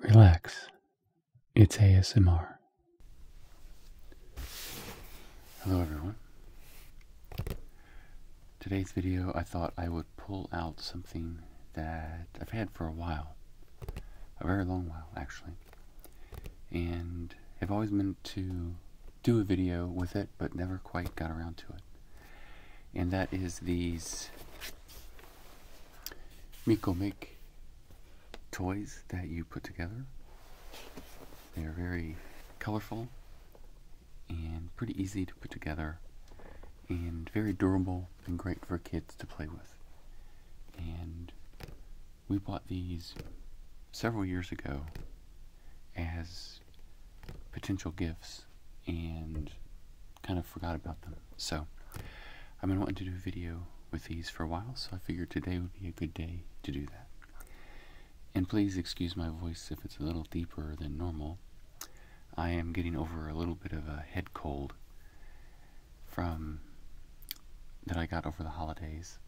Relax. It's ASMR. Hello, everyone. Today's video, I thought I would pull out something that I've had for a while, a very long while, actually, and have always meant to do a video with it, but never quite got around to it. And that is these Miko make toys that you put together. They are very colorful and pretty easy to put together and very durable and great for kids to play with. And we bought these several years ago as potential gifts and kind of forgot about them. So, I've been wanting to do a video with these for a while, so I figured today would be a good day to do that. And please excuse my voice if it's a little deeper than normal. I am getting over a little bit of a head cold from that I got over the holidays,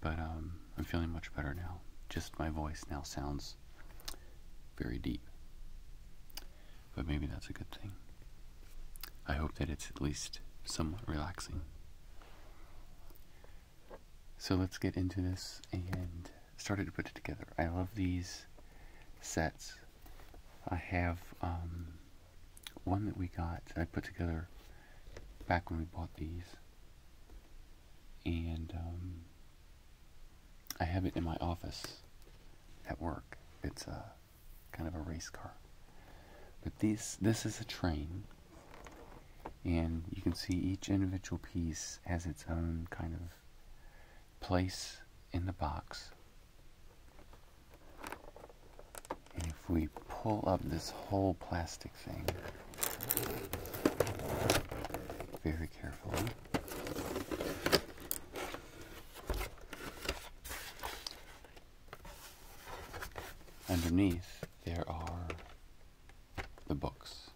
but um, I'm feeling much better now. Just my voice now sounds very deep. But maybe that's a good thing. I hope that it's at least somewhat relaxing. So let's get into this and started to put it together. I love these sets. I have um, one that we got I put together back when we bought these. And um, I have it in my office at work. It's a kind of a race car. But these, this is a train, and you can see each individual piece has its own kind of place in the box. And if we pull up this whole plastic thing very carefully, Underneath, there are the books.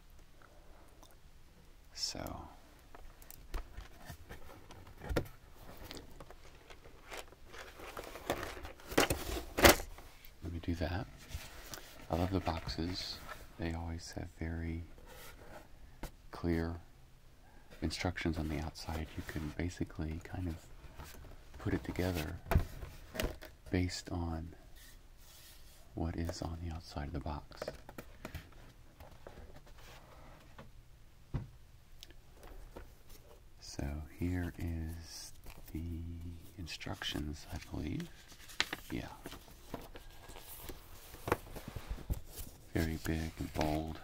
So, let me do that. I love the boxes, they always have very clear instructions on the outside, you can basically kind of put it together based on what is on the outside of the box. So here is the instructions, I believe. Yeah. Very big and bold.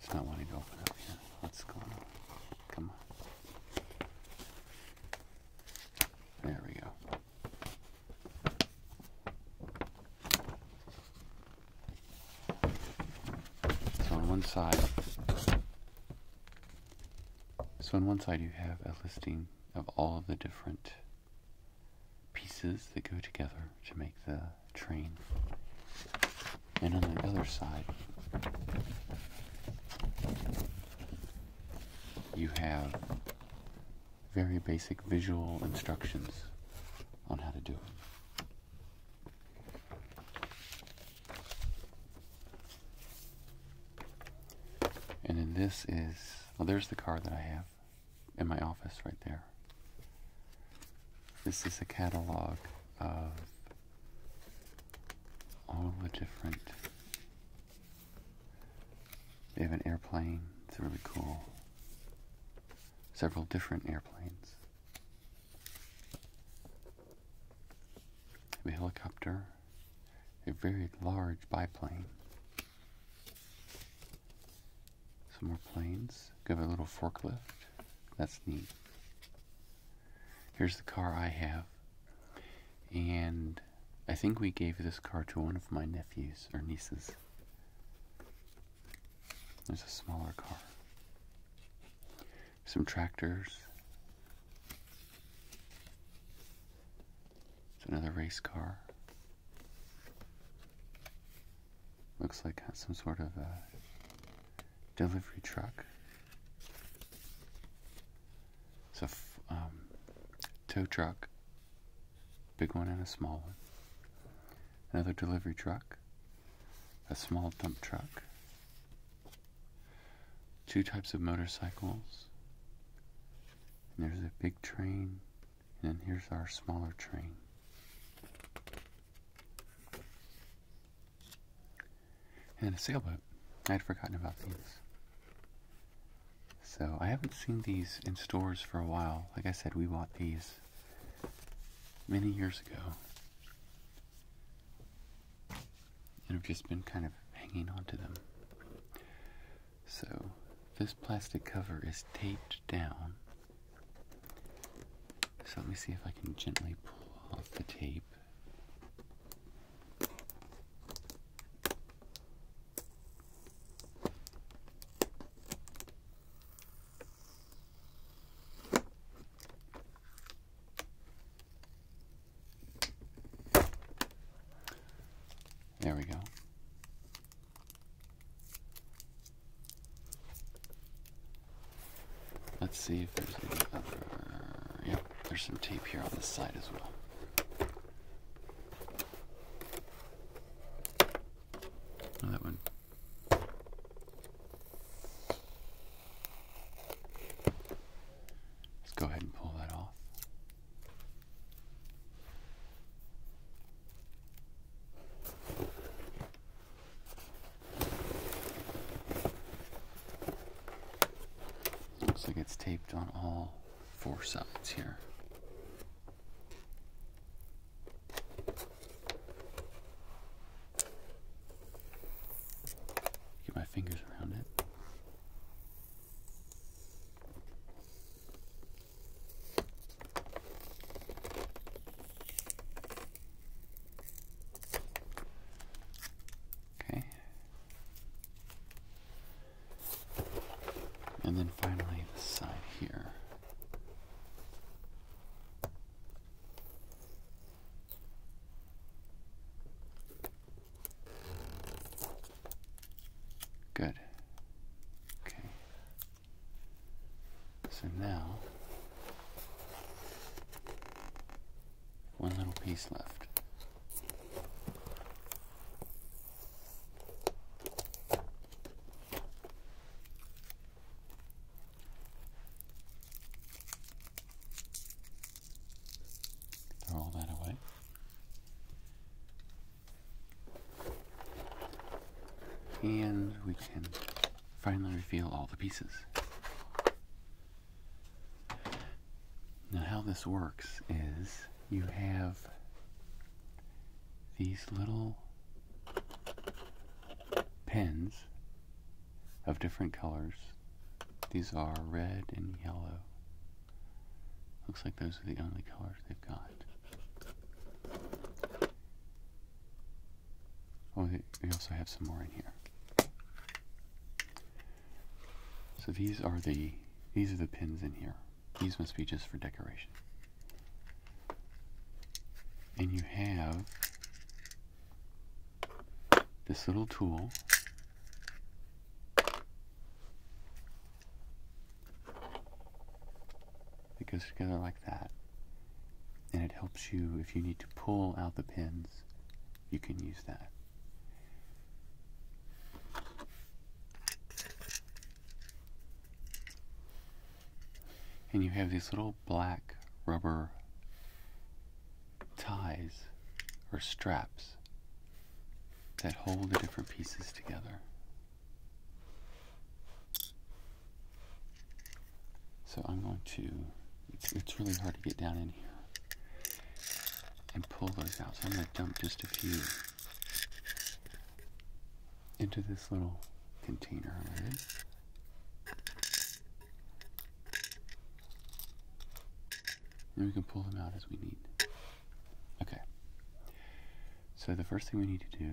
It's not wanting to open up yet. What's going on? Come on. There we go. It's on one side. So on one side you have a listing of all of the different pieces that go together to make the train. And on the other side you have very basic visual instructions on how to do it. And then this is, well, there's the card that I have in my office right there. This is a catalog of all the different. They have an airplane, it's really cool. Several different airplanes. They have a helicopter a very large biplane. Some more planes. Got a little forklift. That's neat. Here's the car I have. And I think we gave this car to one of my nephews or nieces. There's a smaller car. Some tractors. It's another race car. Looks like some sort of a delivery truck. It's a um, tow truck, big one and a small one. Another delivery truck, a small dump truck, two types of motorcycles. there's a big train, and then here's our smaller train. And a sailboat. I'd forgotten about these. So I haven't seen these in stores for a while. Like I said, we bought these many years ago and I've just been kind of hanging on to them. So, this plastic cover is taped down. So, let me see if I can gently pull off the tape. There we go. Let's see if there's any other. Yep, there's some tape here on this side as well. Oh, that one. Let's go ahead and pull that off. Looks like it's taped on all four sides here. Get my fingers around it. Okay. And then finally, the side here. Good. Okay. So now, one little piece left. Throw all that away. And we can finally reveal all the pieces. Now, how this works is you have these little pins of different colors. These are red and yellow Looks like those are the only colors they've got. Oh, we also have some more in here. So these are the these are the pins in here. These must be just for decoration. And you have this little tool it goes together like that. And it helps you if you need to pull out the pins, you can use that. And you have these little black rubber ties or straps that hold the different pieces together. So I'm going to, it's, really hard to get down in here and pull those out. So I'm going to dump just a few into this little container And we can pull them out as we need. Okay. So the first thing we need to do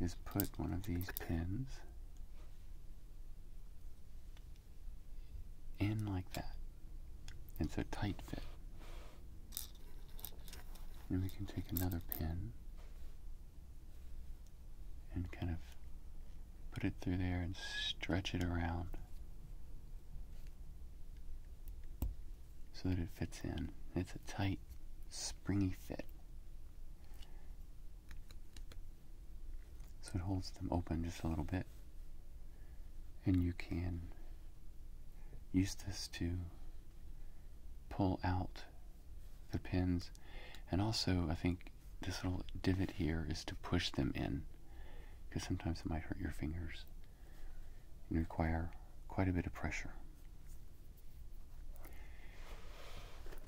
is put one of these pins in like that. And so tight fit. And we can take another pin and kind of put it through there and stretch it around so that it fits in. It's a tight, springy fit. So it holds them open just a little bit. And you can use this to pull out the pins. And also, I think this little divot here is to push them in because sometimes it might hurt your fingers and require quite a bit of pressure.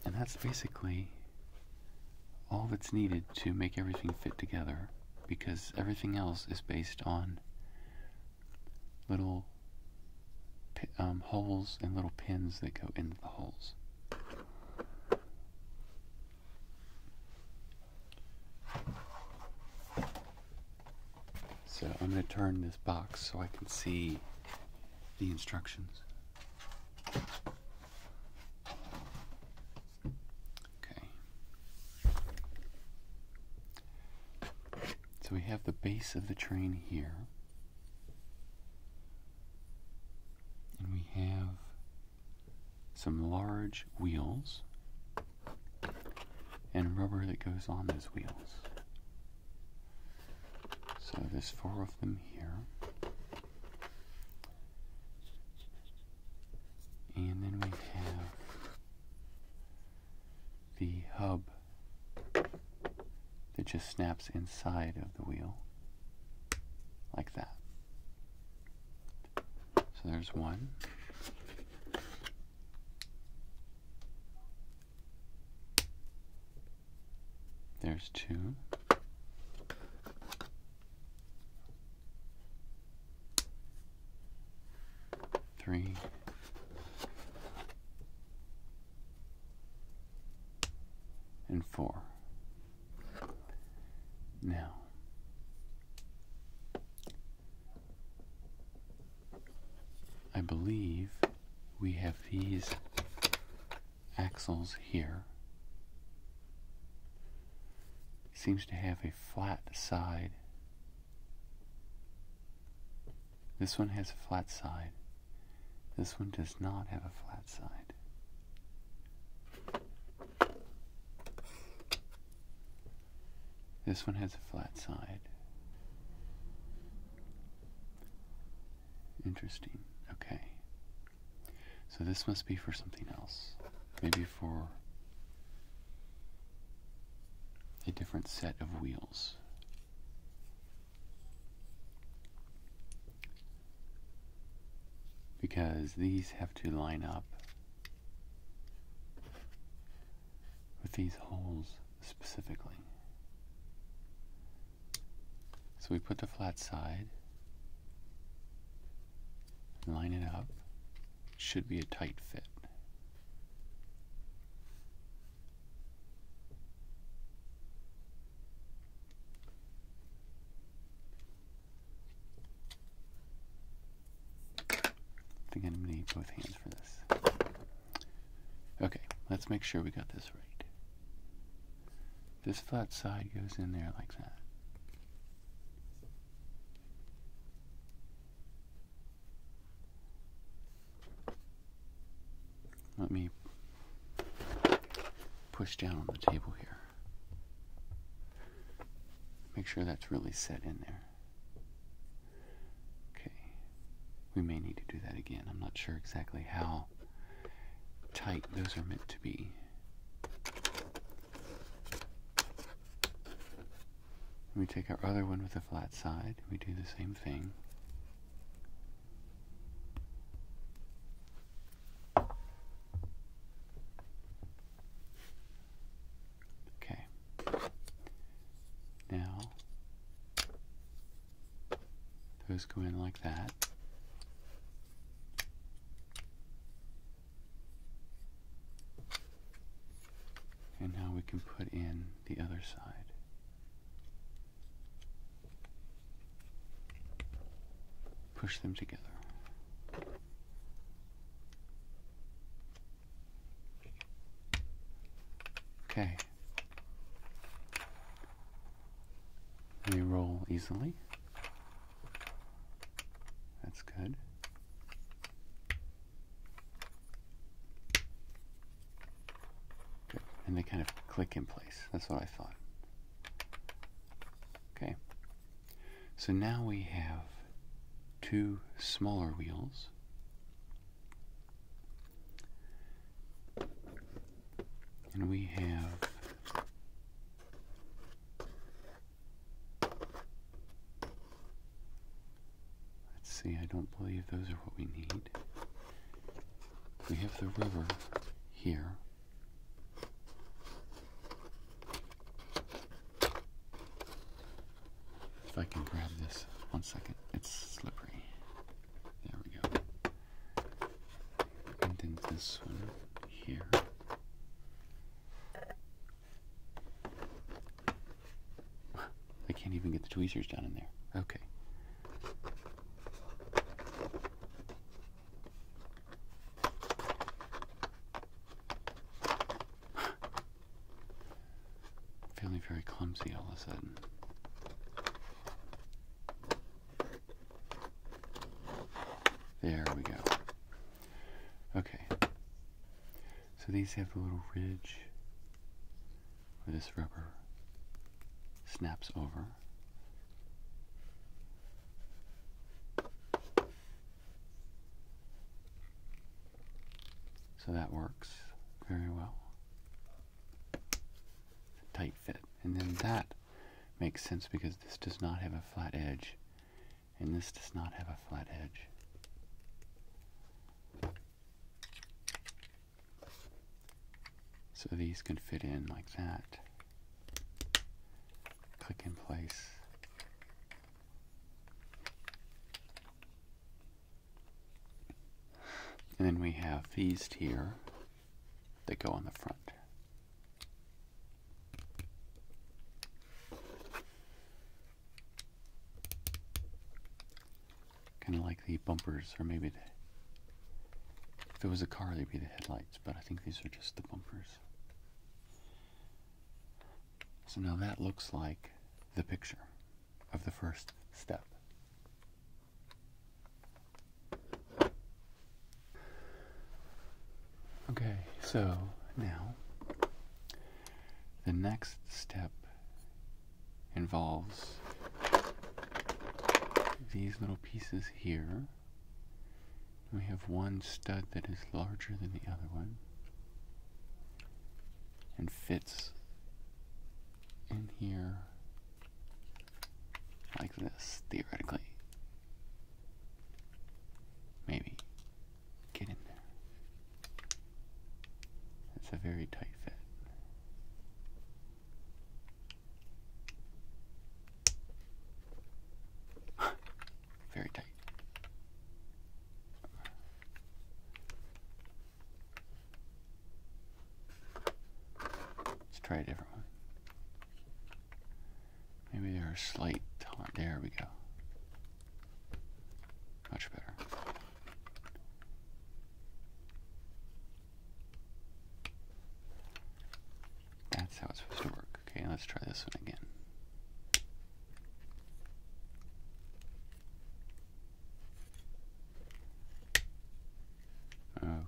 And that's basically all that's needed to make everything fit together because everything else is based on little um, holes and little pins that go into the holes. So I'm going to turn this box so I can see the instructions. Okay. So we have the base of the train here. And we have some large wheels and rubber that goes on those wheels. So there's four of them here. And then we have the hub that just snaps inside of the wheel, like that. So there's one. There's two. Three. And four. Now, I believe we have these axles here. Seems to have a flat side. This one has a flat side. This one does not have a flat side. This one has a flat side. Interesting. Okay. So this must be for something else. Maybe for a different set of wheels because these have to line up with these holes specifically. So we put the flat side, line it up, should be a tight fit. I think I'm going to need both hands for this. Okay, let's make sure we got this right. This flat side goes in there like that. Let me push down on the table here. Make sure that's really set in there. Okay. We may need to do that again. I'm not sure exactly how tight those are meant to be. we take our other one with the flat side. We do the same thing. Okay. Now, those go in like that. And now we can put in the other side push them together. Okay. They roll easily. That's good. And they kind of click in place. That's what I thought. Okay. So now we have two smaller wheels. And we have. Let's see, I don't believe those are what we need. We have the river here. If I can grab this, one second, it's slippery. There we go. And then this one here. I can't even get the tweezers down in there. Okay. Feeling very clumsy all of a sudden. There we go. Okay. So these have a little ridge where this rubber snaps over. So that works very well. Tight fit. And then that makes sense because this does not have a flat edge, and this does not have a flat edge. So these can fit in like that click in place. And then we have these here that go on the front. Kind of like the bumpers, or maybe if it was a car, they'd be the headlights, but I think these are just the bumpers. So now that looks like the picture of the first step. Okay, so now the next step involves these little pieces here we have one stud that is larger than the other one and fits in here like this, theoretically. Maybe. Get in there. It's a very tight fit. very tight. Let's try a different one. Maybe there are slight There we go. Much better. That's how it's supposed to work. Okay, let's try this one again.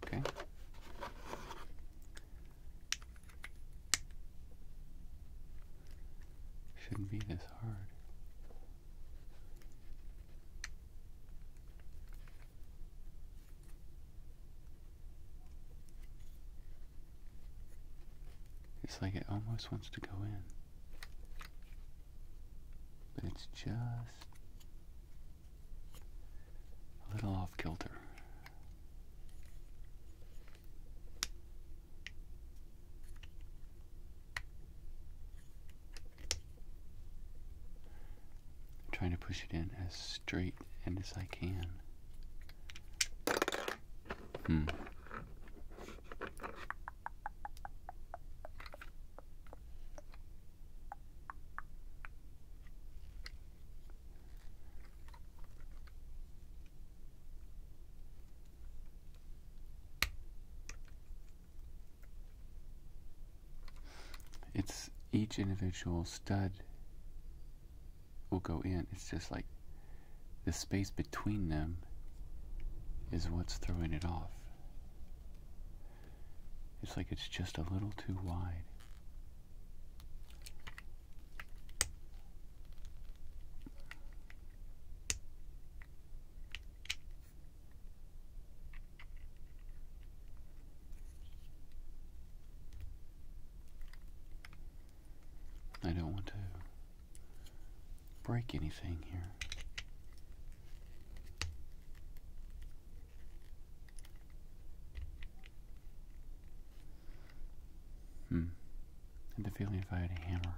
Okay. Shouldn't be this hard. It's like it almost wants to go in. But it's just a little off kilter. I'm trying to push it in as straight and as I can. Hmm. It's each individual stud will go in. It's just like the space between them is what's throwing it off. It's like it's just a little too wide. I don't want to break anything here. Hmm. I the feeling if I had a hammer,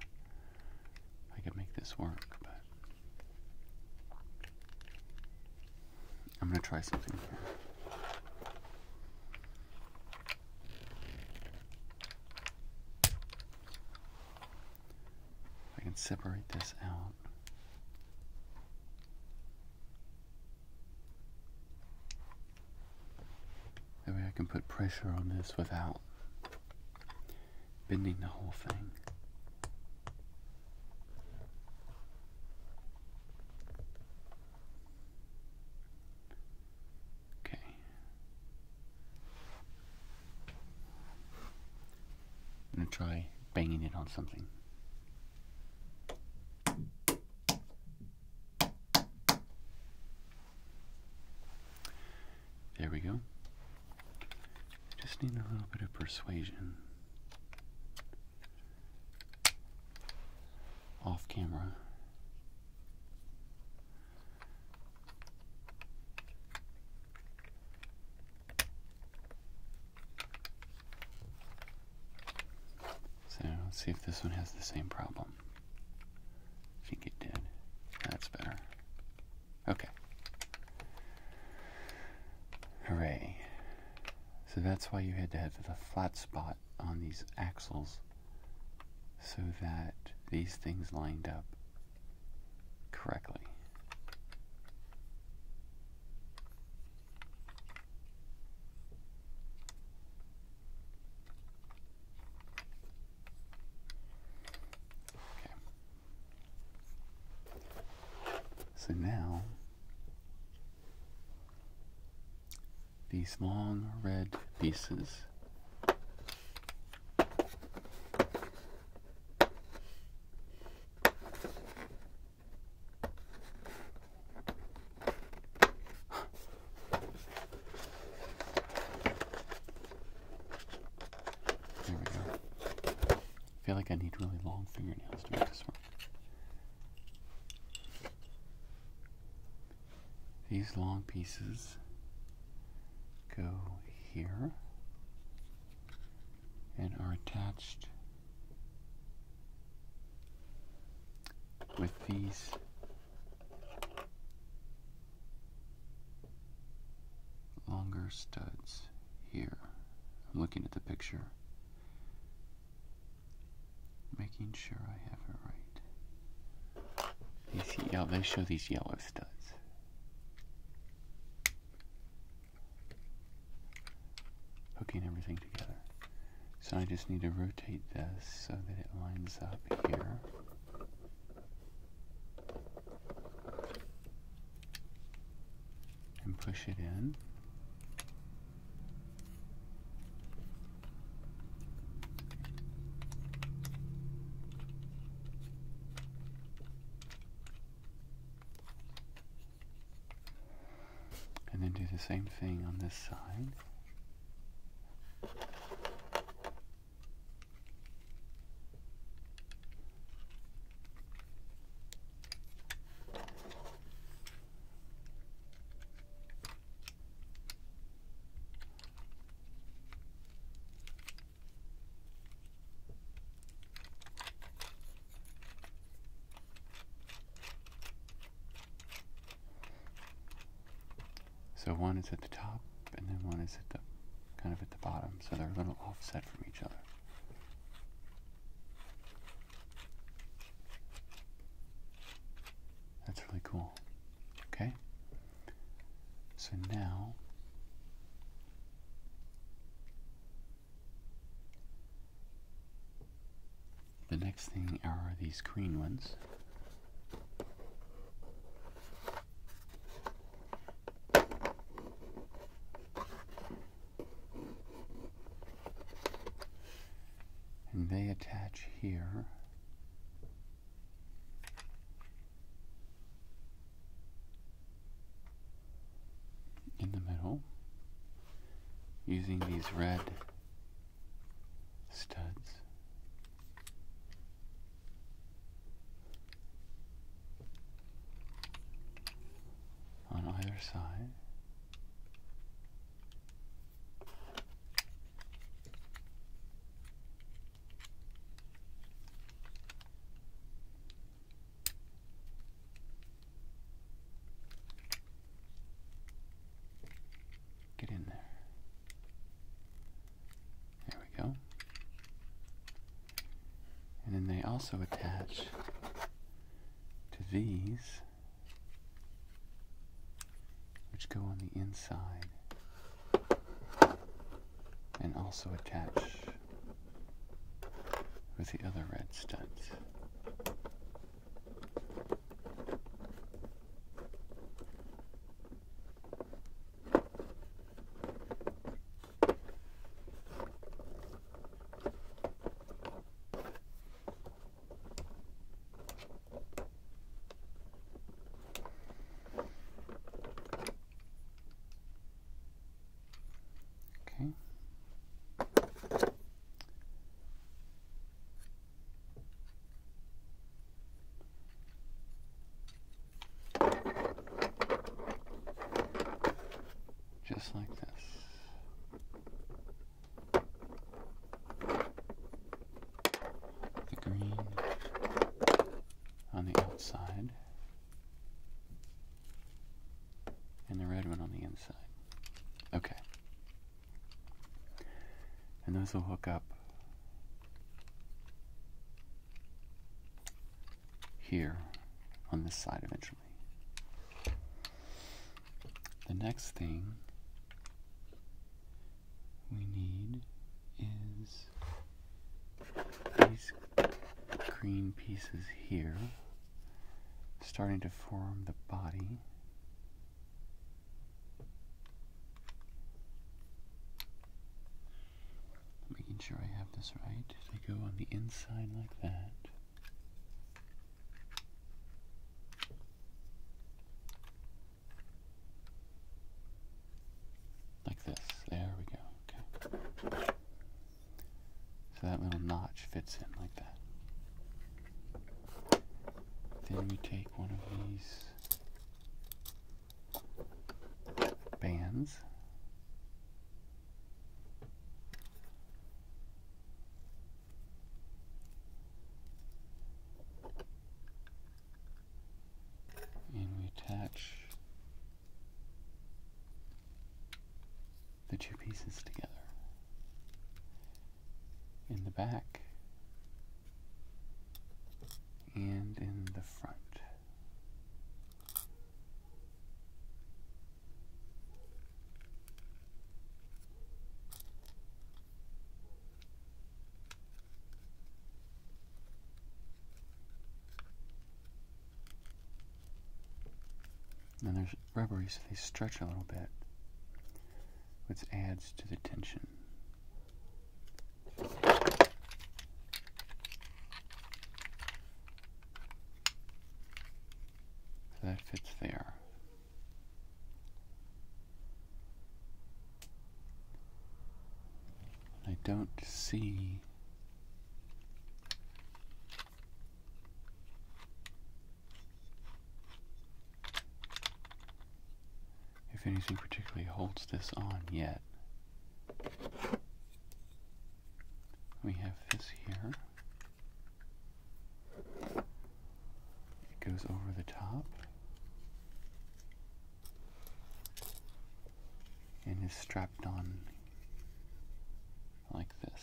I could make this work, but I'm gonna try something here. I can separate this out. Maybe I can put pressure on this without bending the whole thing. Okay. I'm gonna try banging it on something. There we go. Just need a little bit of persuasion off camera. So let's see if this one has the same problem. think it did. That's better. Okay. Hooray. So that's why you had to have the flat spot on these axles so that these things lined up correctly. Okay. So now these long red pieces. There we go. I feel like I need really long fingernails to make this work. These long pieces go here and are attached with these longer studs here. I'm looking at the picture making sure I have it right. they show these yellow studs. Hooking everything together. So I just need to rotate this so that it lines up here. And push it in. And then do the same thing on this side. So one is at the top, and then one is at the kind of at the bottom, so they're a little offset from each other. That's really cool. Okay? So now the next thing are these green ones. And they attach here in the middle using these red studs. On either side, Get in there. There we go. And then they also attach to these which go on the inside and also attach with the other red studs. Okay. Just like this the green on the outside, and the red one on the inside. Okay. And those will hook up here on this side eventually. The next thing we need is these green pieces here starting to form the body. Making sure I have this right. They go on the inside like that. Like this. There we go. Okay. So that little notch fits in like that. Then we take one of these bands and we attach the two pieces together. In the back and in the front. And there's rubbery, so they stretch a little bit, which adds to the tension. So that fits there. I don't see if anything particularly holds this on yet. We have this here. It goes over the top. And is strapped on like this.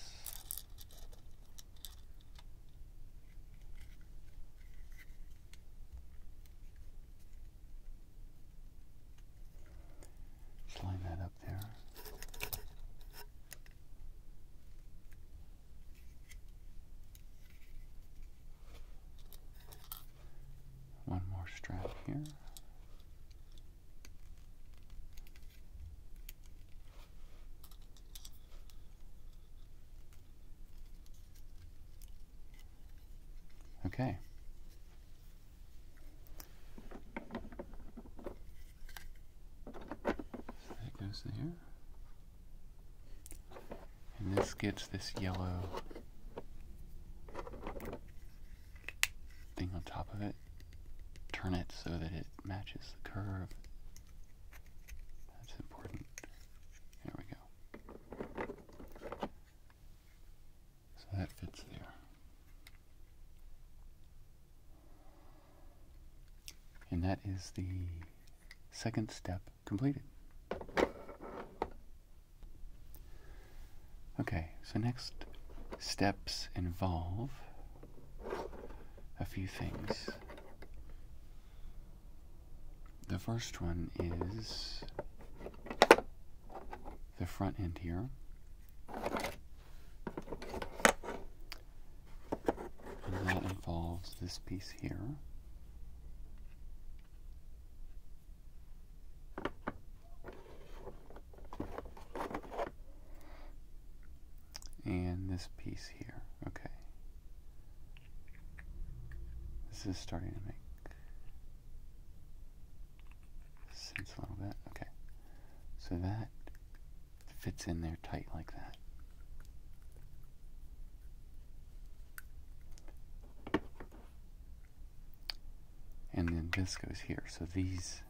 line that up there. One more strap here. Okay. that goes there. And this gets this yellow thing on top of it. Turn it so that it matches the curve. That's important. There we go. So that fits there. And that is the second step completed. Okay, so next steps involve a few things. The first one is the front end here. And that involves this piece here and this piece here. Okay. This is starting to make sense a little bit. Okay. So that fits in there tight like that. And then this goes here. So these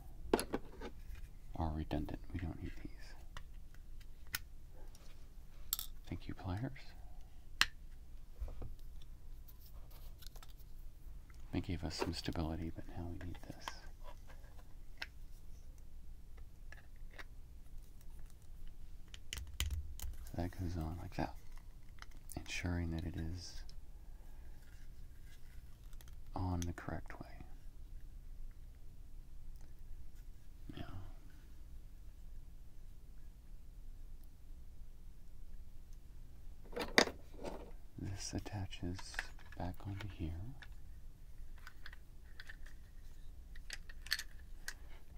are redundant. We don't need these. Thank you, pliers. They gave us some stability, but now we need this that goes on like that, ensuring that it is on the correct way. Now, this attaches back onto here.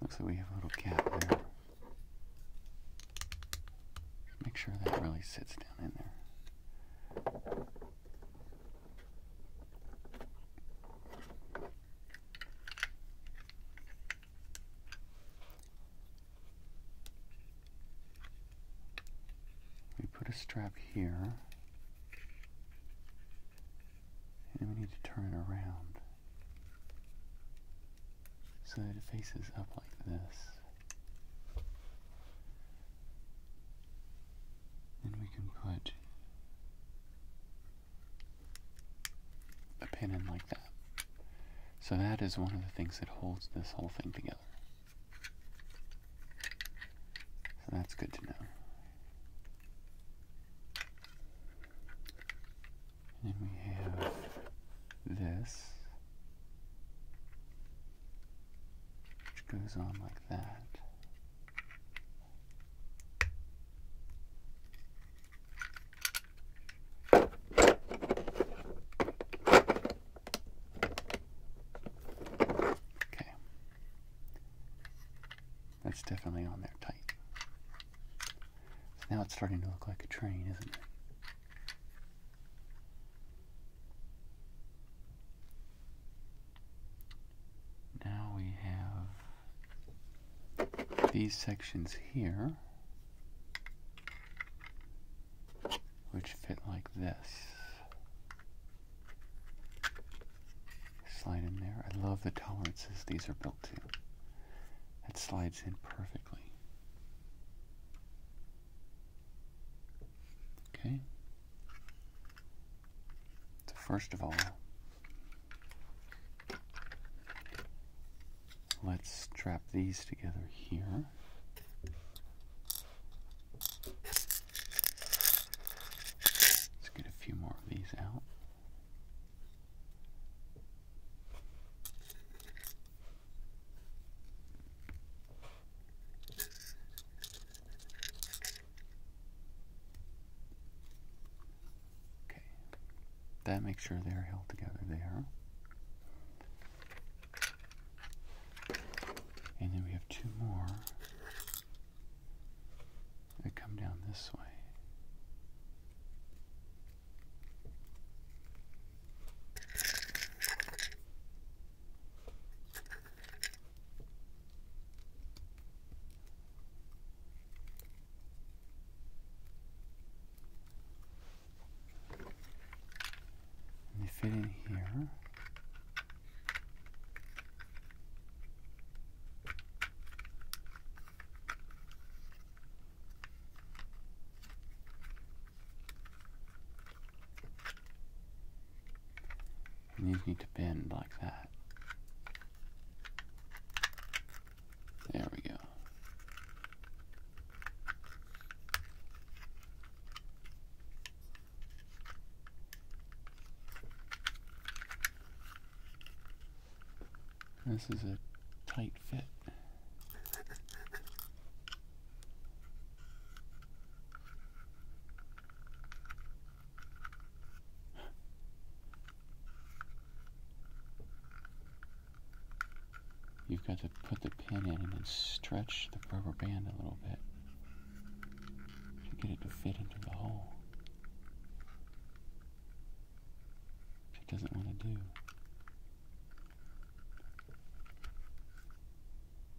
Looks like we have a little gap there. Make sure that really sits down in there. We put a strap here and we need to turn it around so that it faces up like this. Then we can put a pin in like that. So that is one of the things that holds this whole thing together. So that's good to know. And we have this, which goes on like that. Okay. That's definitely on there tight. now it's starting to look like a train, isn't it? Now we have these sections here, which fit like this. Slide in there. I love the tolerances these are built to. That slides in perfectly. Okay. So first of all, let's strap these together here. Let's get a few more of these out. Okay, that makes sure they're held together there. And then we have two more that come down this way. They fit in here. And these need to bend like that. There we go. This is a tight fit. You've got to put the pin in and then stretch the rubber band a little bit to get it to fit into the hole. Which it doesn't want to do.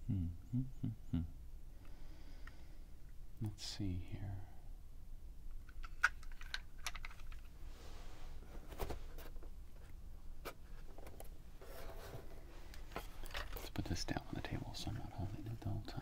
Hmm, hmm, hmm, hmm. Let's see here. Let's put this down on the table so I'm not holding it the whole time.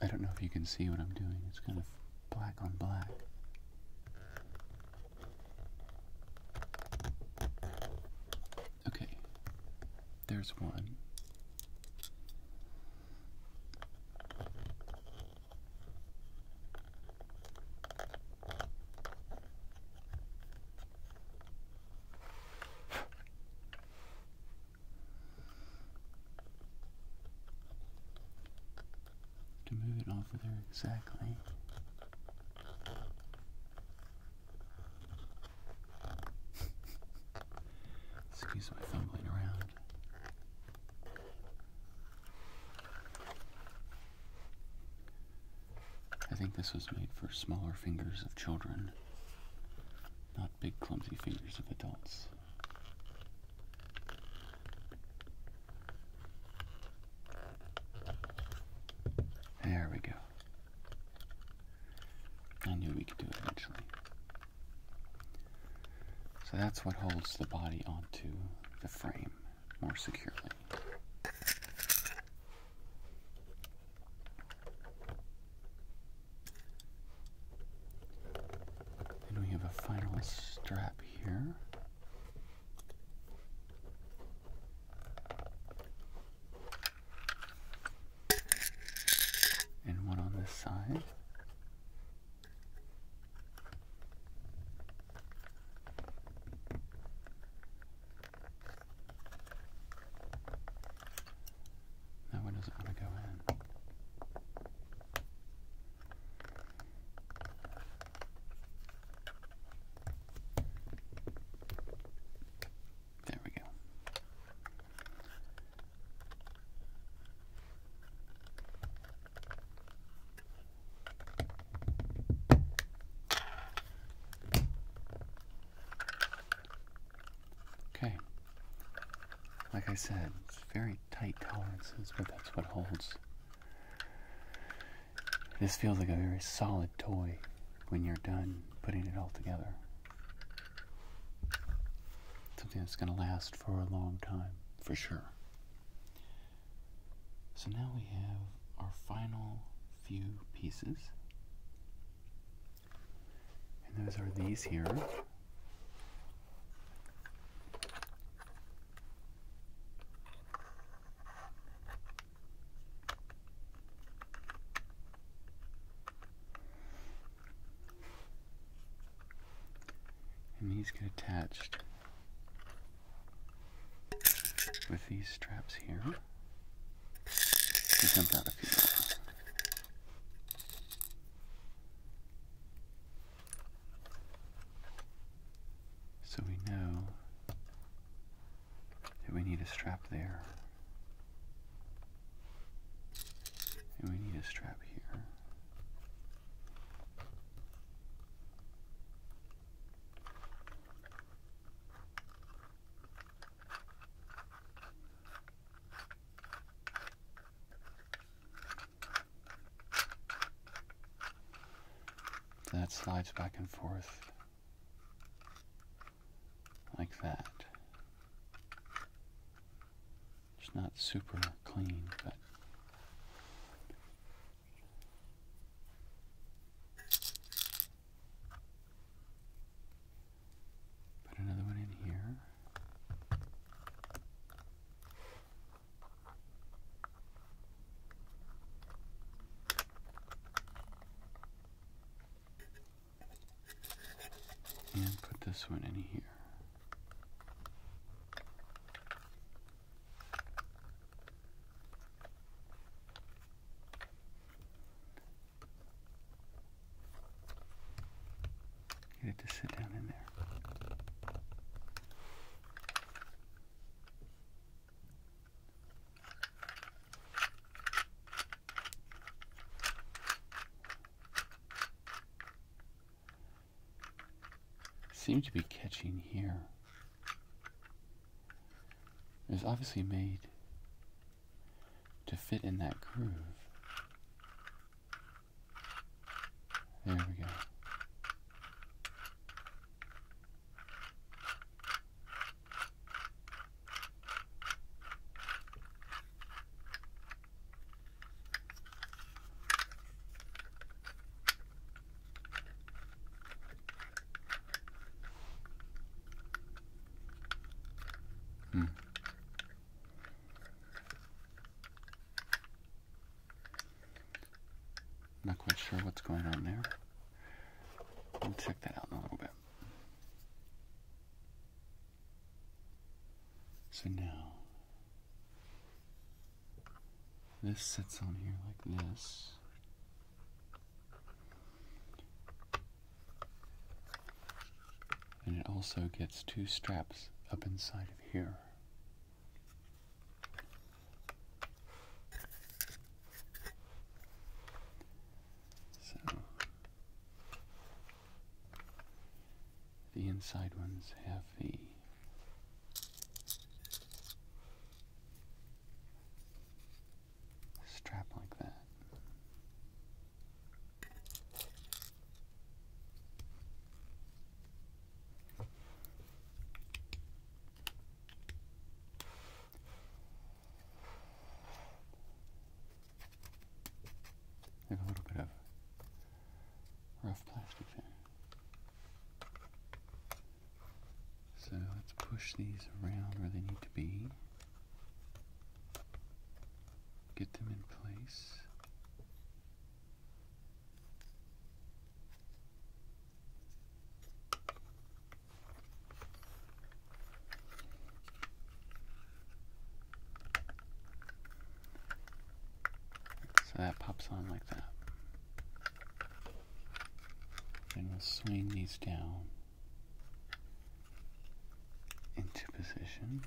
I don't know if you can see what I'm doing. It's kind of black on black. Okay. There's one to move it off of there exactly. Excuse my fumbling around. I think this was made for smaller fingers of children, not big clumsy fingers of adults. There we go. I knew we could do it eventually. So that's what holds the body onto the frame more securely. And we have a final strap here. And one on this side. That one doesn't want to go in. There we go. Okay. Like I said, it's very tight tolerances, but that's what holds. This feels like a very solid toy when you're done putting it all together. Something that's going to last for a long time, for sure. So now we have our final few pieces. And those are these here. And these get attached with these straps here. So we know that we need a strap there. And we need a strap here. That slides back and forth like that. It's not super clean, but Put another one in here. And put this one in here. You have to sit down in there. Seems to be catching here. It's obviously made to fit in that groove. There we go. Hmm. Not quite sure what's going on there. We'll check that out in a little bit. So now, this sits on here like this. And it also gets two straps up inside of here. So the inside ones have the strap like that. They a little bit of rough plastic there. So let's push these around where they need to be. Get them in place. So that pops on like that. And we'll swing these down into position.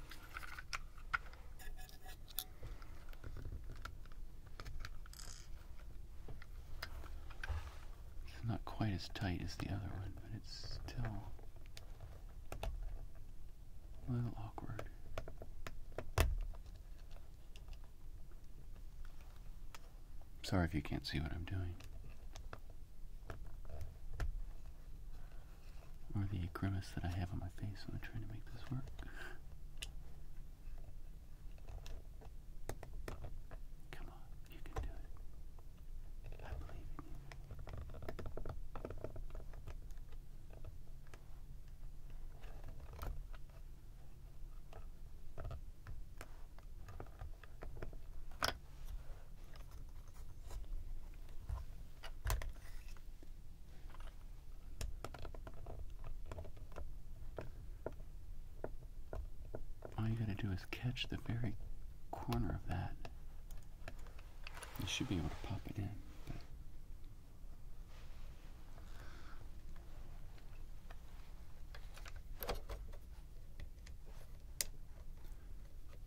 not quite as tight as the other one, but it's still a little awkward. Sorry if you can't see what I'm doing. Or the grimace that I have on my face when I'm trying to make this work. Come on, you can do it. I believe in you. All you gotta do is catch the very corner of that. You should be able to pop it in.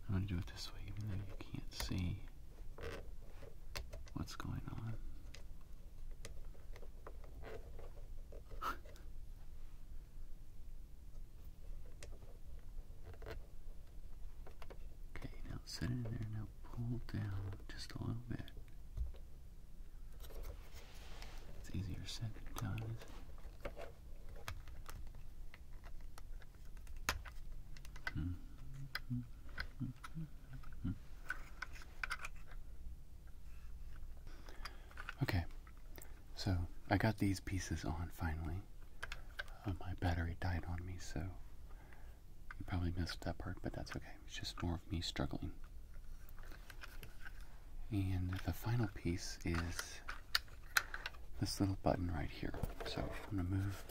I'm going to do it this way, even though you can't see what's going on. okay, now set it in there. Now pull down just a little bit. It's easier said than done, Okay, so I got these pieces on finally. Uh, my battery died on me, so you probably missed that part, but that's okay. It's just more of me struggling. And the final piece is this little button right here. So I'm going to move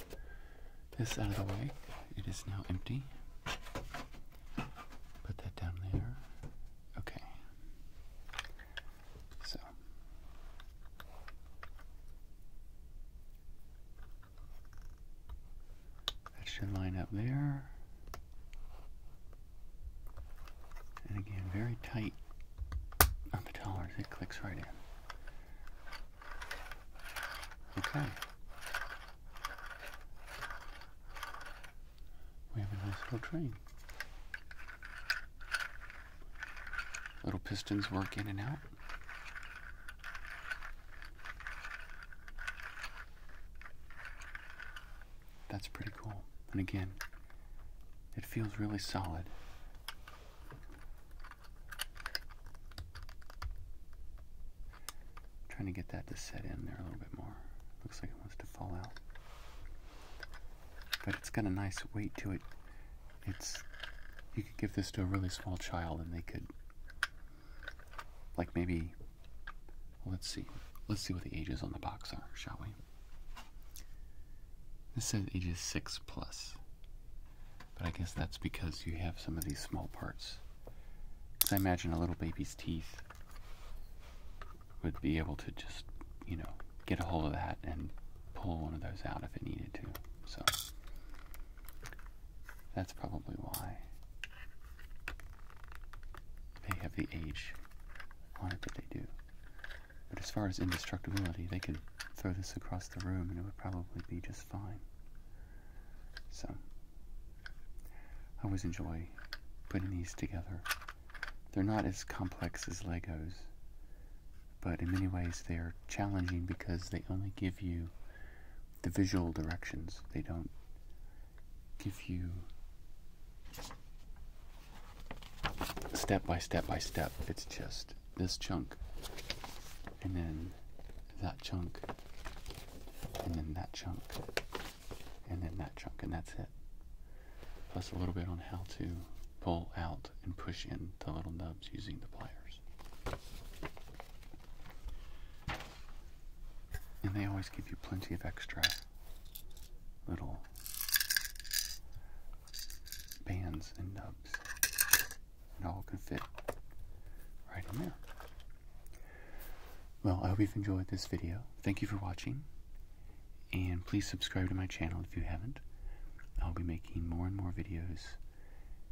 this out of the way. It is now empty. Put that down there. Okay. So. That should line up there. And again, very tight on the dollars, it clicks right in. Okay. We have a nice little train. Little pistons work in and out. That's pretty cool. And again, it feels really solid trying to get that to set in there a little bit more. Looks like it wants to fall out. But it's got a nice weight to it. It's you could give this to a really small child and they could like maybe let's see. Let's see what the ages on the box are, shall we? This says ages 6 plus. But I guess that's because you have some of these small parts. Because I imagine a little baby's teeth would be able to just, you know, get a hold of that and pull one of those out if it needed to. So that's probably why they have the age on it but they do. But as far as indestructibility, they could throw this across the room and it would probably be just fine. So, I always enjoy putting these together. They're not as complex as Legos, but in many ways they're challenging because they only give you the visual directions. They don't give you step by step by step. It's just this chunk, and then that chunk, and then that chunk, and then that chunk, and that's it. Plus a little bit on how to pull out and push in the little nubs using the pliers. And they always give you plenty of extra little bands and nubs. It all can fit right in there. Well, I hope you've enjoyed this video. Thank you for watching. And please subscribe to my channel if you haven't. I'll be making more and more videos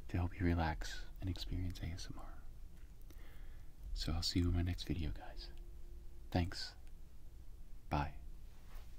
to help you relax and experience ASMR. So I'll see you in my next video, guys. Thanks. Bye.